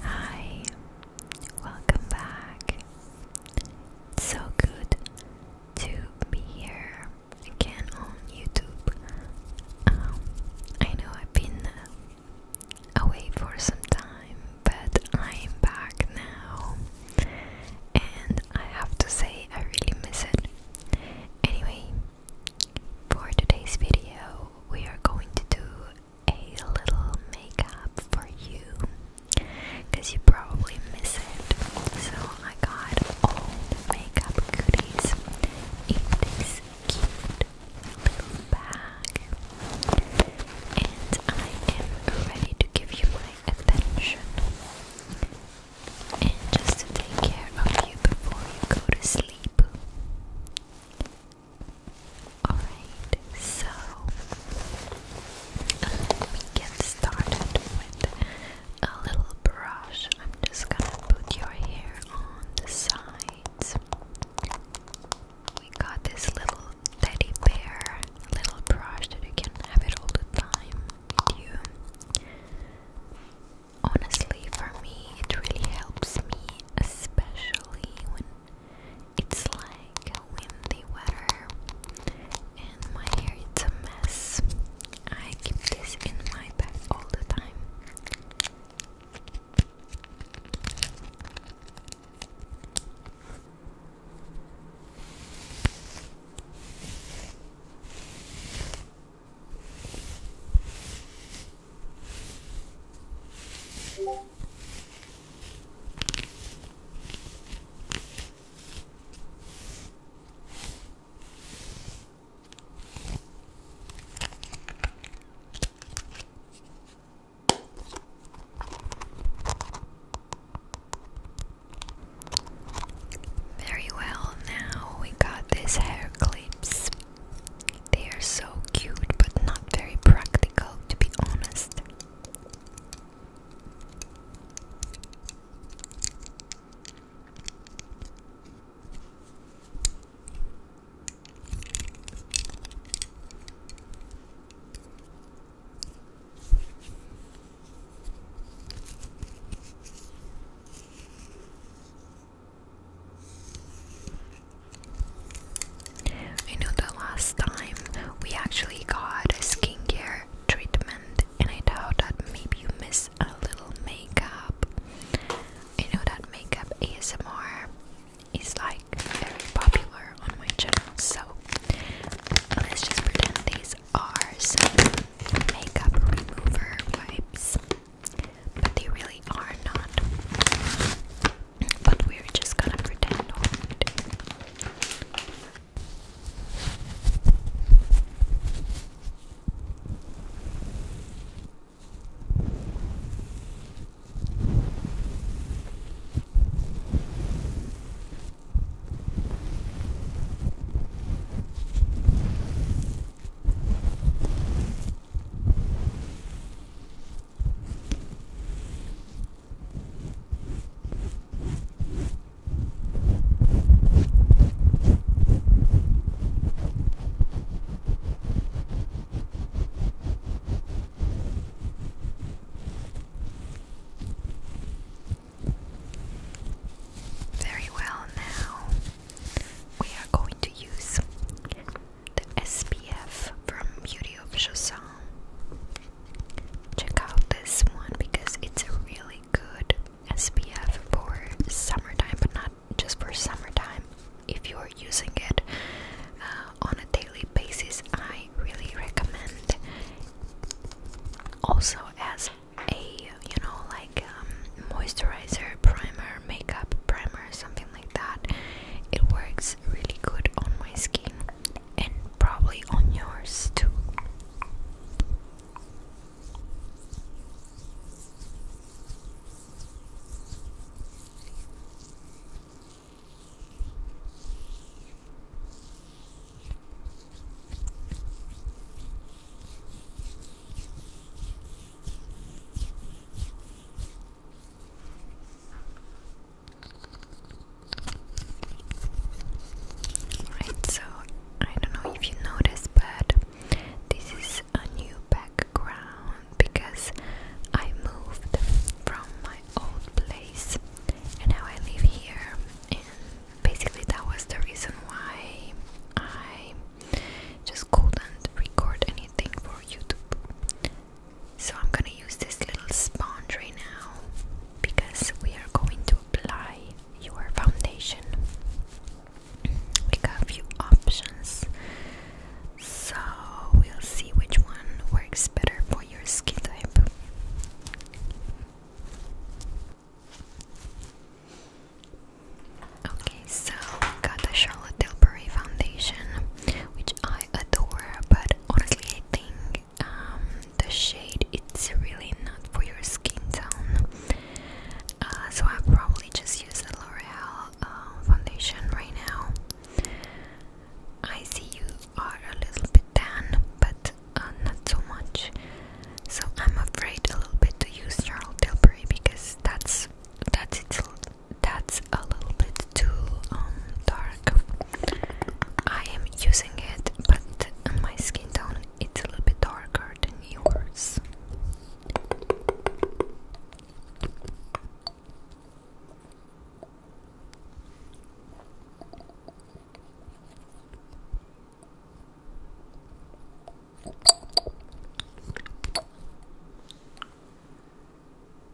Hi, welcome back. so good to be here again on YouTube. Um, I know I've been away for some time, but I'm back now, and I have to say, I really miss it. Anyway, for today's video, we are going to do a little makeup for you because you probably miss it. So I got all the makeup goodies in this cute little bag, and I am ready to give you my attention. And just to take care of you before you go to sleep. Alright, so let me get started with a little brush. I'm just gonna put your hair on the sides. We got this little teddy bear little brush that you can have it all the time Honestly, for me, it really helps me, especially when it's like a windy weather and my hair is a mess. I keep this in my bag all the time. Very well, now we got these hair clips. They are so cute, but not very practical, to be honest. I know the last time we actually got a skincare treatment, and I doubt that maybe you miss a little makeup. I know that makeup ASMR is like very popular on my channel, so let's just pretend these are some makeup remover wipes, but they really are not. But we're just gonna pretend very well, now we are going to use the SPF from Beauty of Chausson. Check out this one because it's a really good SPF for summertime, but not just for summertime. If you're using it uh, on a daily basis, I really recommend. Also, as a you know, like um, moisturizer, primer, makeup primer, something like that, it works really good on my skin and probably on yours too. Alright, so I don't know if you noticed, but this is a new background because I moved from my old place and now I live here. And basically, that was the reason why I just couldn't record anything for YouTube. So I'm gonna use this little sponge right now because we are going to apply your foundation. We got a few options, so we'll see which one works better for your skin type. Okay, so we got the Charlotte Tilbury foundation, which I adore, but honestly, I think um, the shade it's really not for your skin tone. Uh, so I probably just use the L'Oreal uh, foundation right now. I see you are a little bit tan, but uh, not so much. So I'm afraid a little bit to use Charlotte Tilbury because that's that's its that's a little bit too um, dark. I am using it, but my skin tone it's a little bit darker than yours.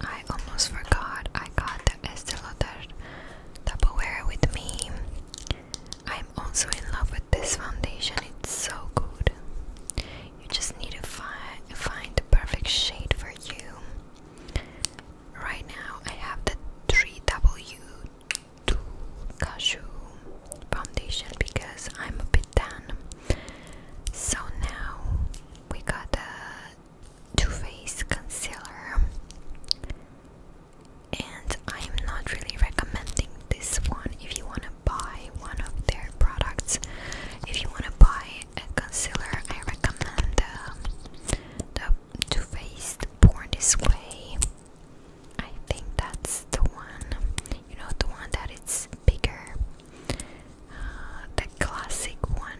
I almost forgot I got the Estee Lauder Wear with me. I'm also in love with this foundation, it's so good. You just need to find, find the perfect shade for you. Right now, I have the 3W2 Cashew foundation because I'm a bit tan. So now we got the too Faced concealer, and I'm not really recommending this one if you want to buy one of their products. If you want to buy a concealer, I recommend um, the, the Too Faced Born This Way. I think that's the one, you know, the one that bigger. Uh, the classic one.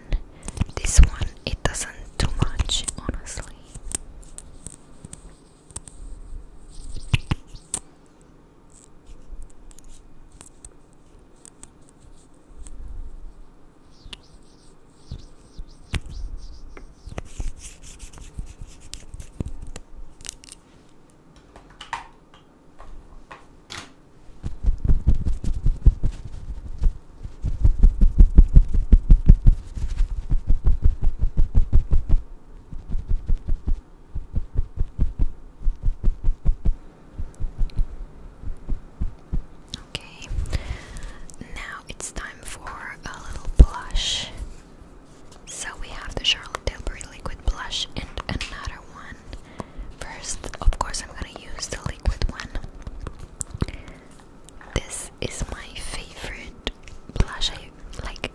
This one, it doesn't do much, honestly. Okay, now it's time for a little blush. So we have the Charlotte Tilbury liquid blush and another one. First, of course, I'm gonna use the liquid one. This is my favorite blush, I like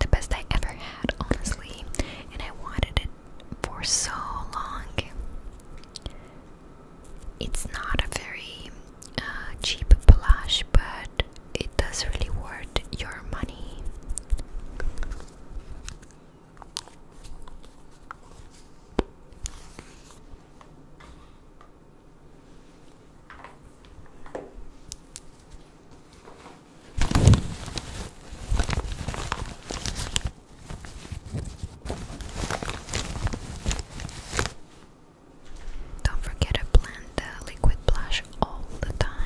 the best I ever had, honestly, and I wanted it for so long. It's not a very uh, cheap blush, but it does really worth your money. Don't forget to blend the liquid blush all the time.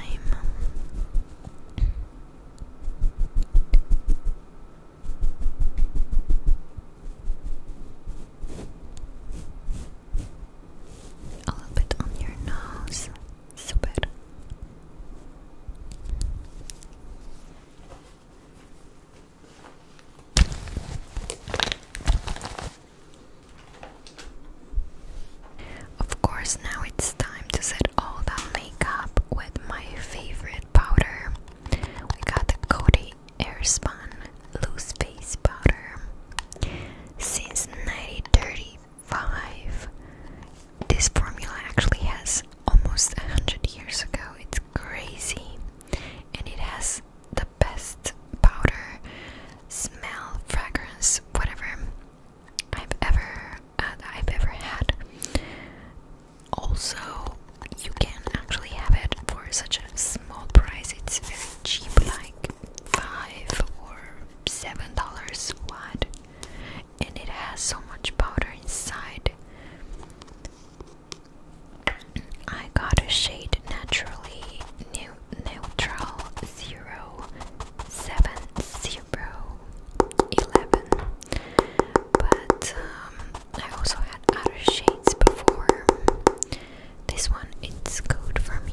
A little bit on your nose. Super. Of course, now it's time to set all that makeup with my favorite powder. We got the Cody Airspun Loose Face Powder. Since 1935, this formula actually has almost 100 years ago. It's crazy. And it has the best powder, smell, fragrance, whatever I've ever uh, I've ever had. Also, you can actually have it for such a small price. It's very cheap, like five or seven dollars. What? And it has so much powder inside. I got a shade naturally neutral zero seven zero eleven but um, I also had other shades before. This one, it's good for me.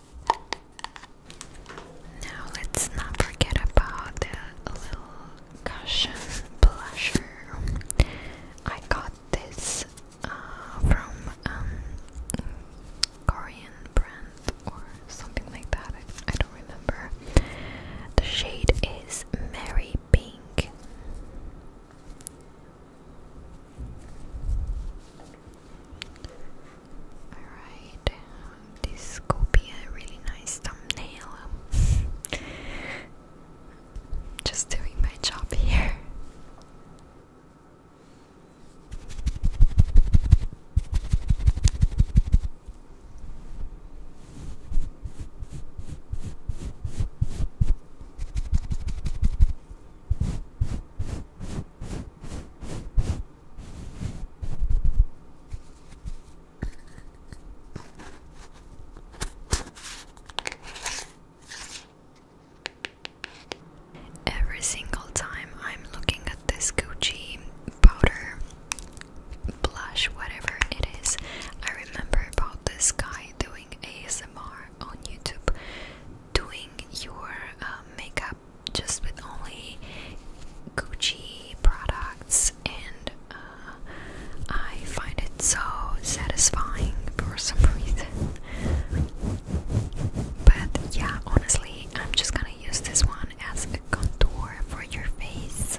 Now let's not forget about the little cushion blusher. I got this uh, from um, Korean brand or something like that. I, don't remember. The shade is Mary Pink. Alright, this could be a really nice thumbnail. Just doing my job here. Every single time I'm looking at this Gucci powder, blush, whatever it is, I remember about this guy doing ASMR on YouTube, doing your uh, makeup just with only Gucci products, and uh, I find it so satisfying for some reason. But yeah, honestly, I'm just gonna use this one as a contour for your face.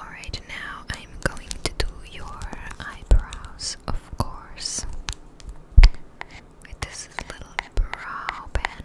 Alright, now I'm going to do your eyebrows, of course, with this little brow pen.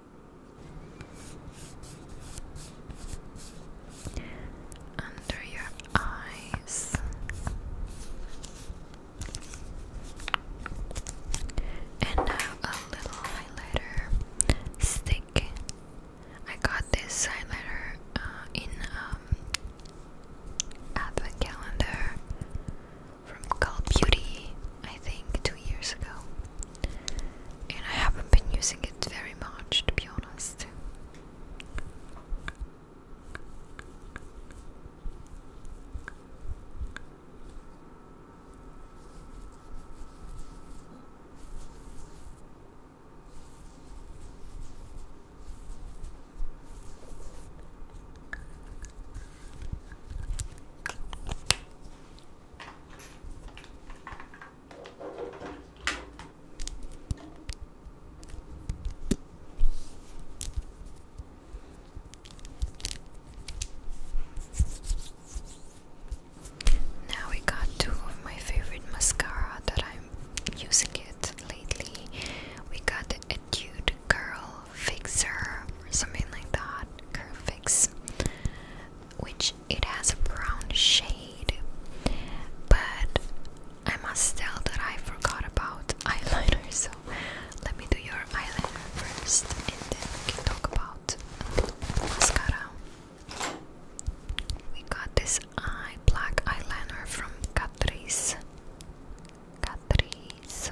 under your eyes and now a little highlighter stick I got this highlighter uh, in um, advent calendar from Call Beauty, I think, two years ago. And I haven't been using it very much, to be honest. Now we got two of my favorite mascara that I'm using it lately. We got the Etude Curl Fixer or something like that curve which it has a brown shade but I must tell that I forgot about eyeliner so let me do your eyeliner first and then we can talk about mascara we got this eye black eyeliner from Catrice Catrice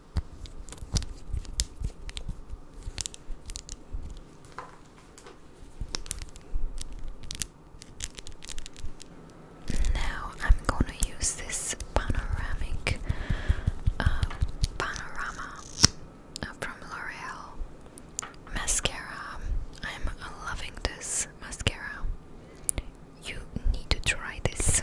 Now I'm gonna use this panoramic um, uh, panorama from L'Oreal mascara. I'm loving this mascara. You need to try this.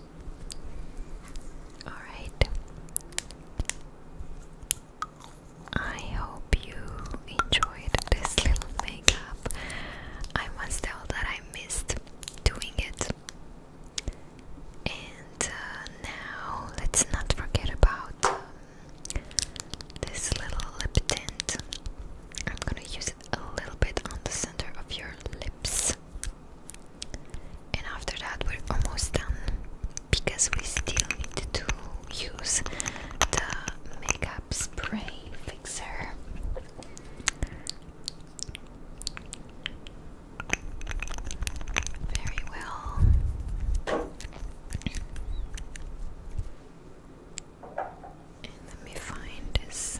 Alright. I hope you enjoyed this little makeup. I must tell that I missed doing it. And uh, now let's not forget about um, this little lip tint. I'm gonna use a little bit on the center of your lips and after that we're almost done because we still need to use the makeup spray fixer. Very well. let me find this.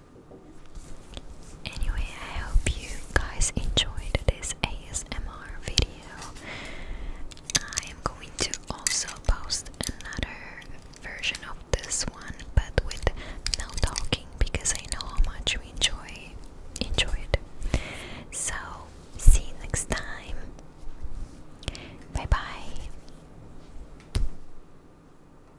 Anyway, I hope you guys enjoyed this ASMR video. I am going to also post another version of this one, but with no talking because I know how much you enjoy enjoy it. So see you next time. Bye bye.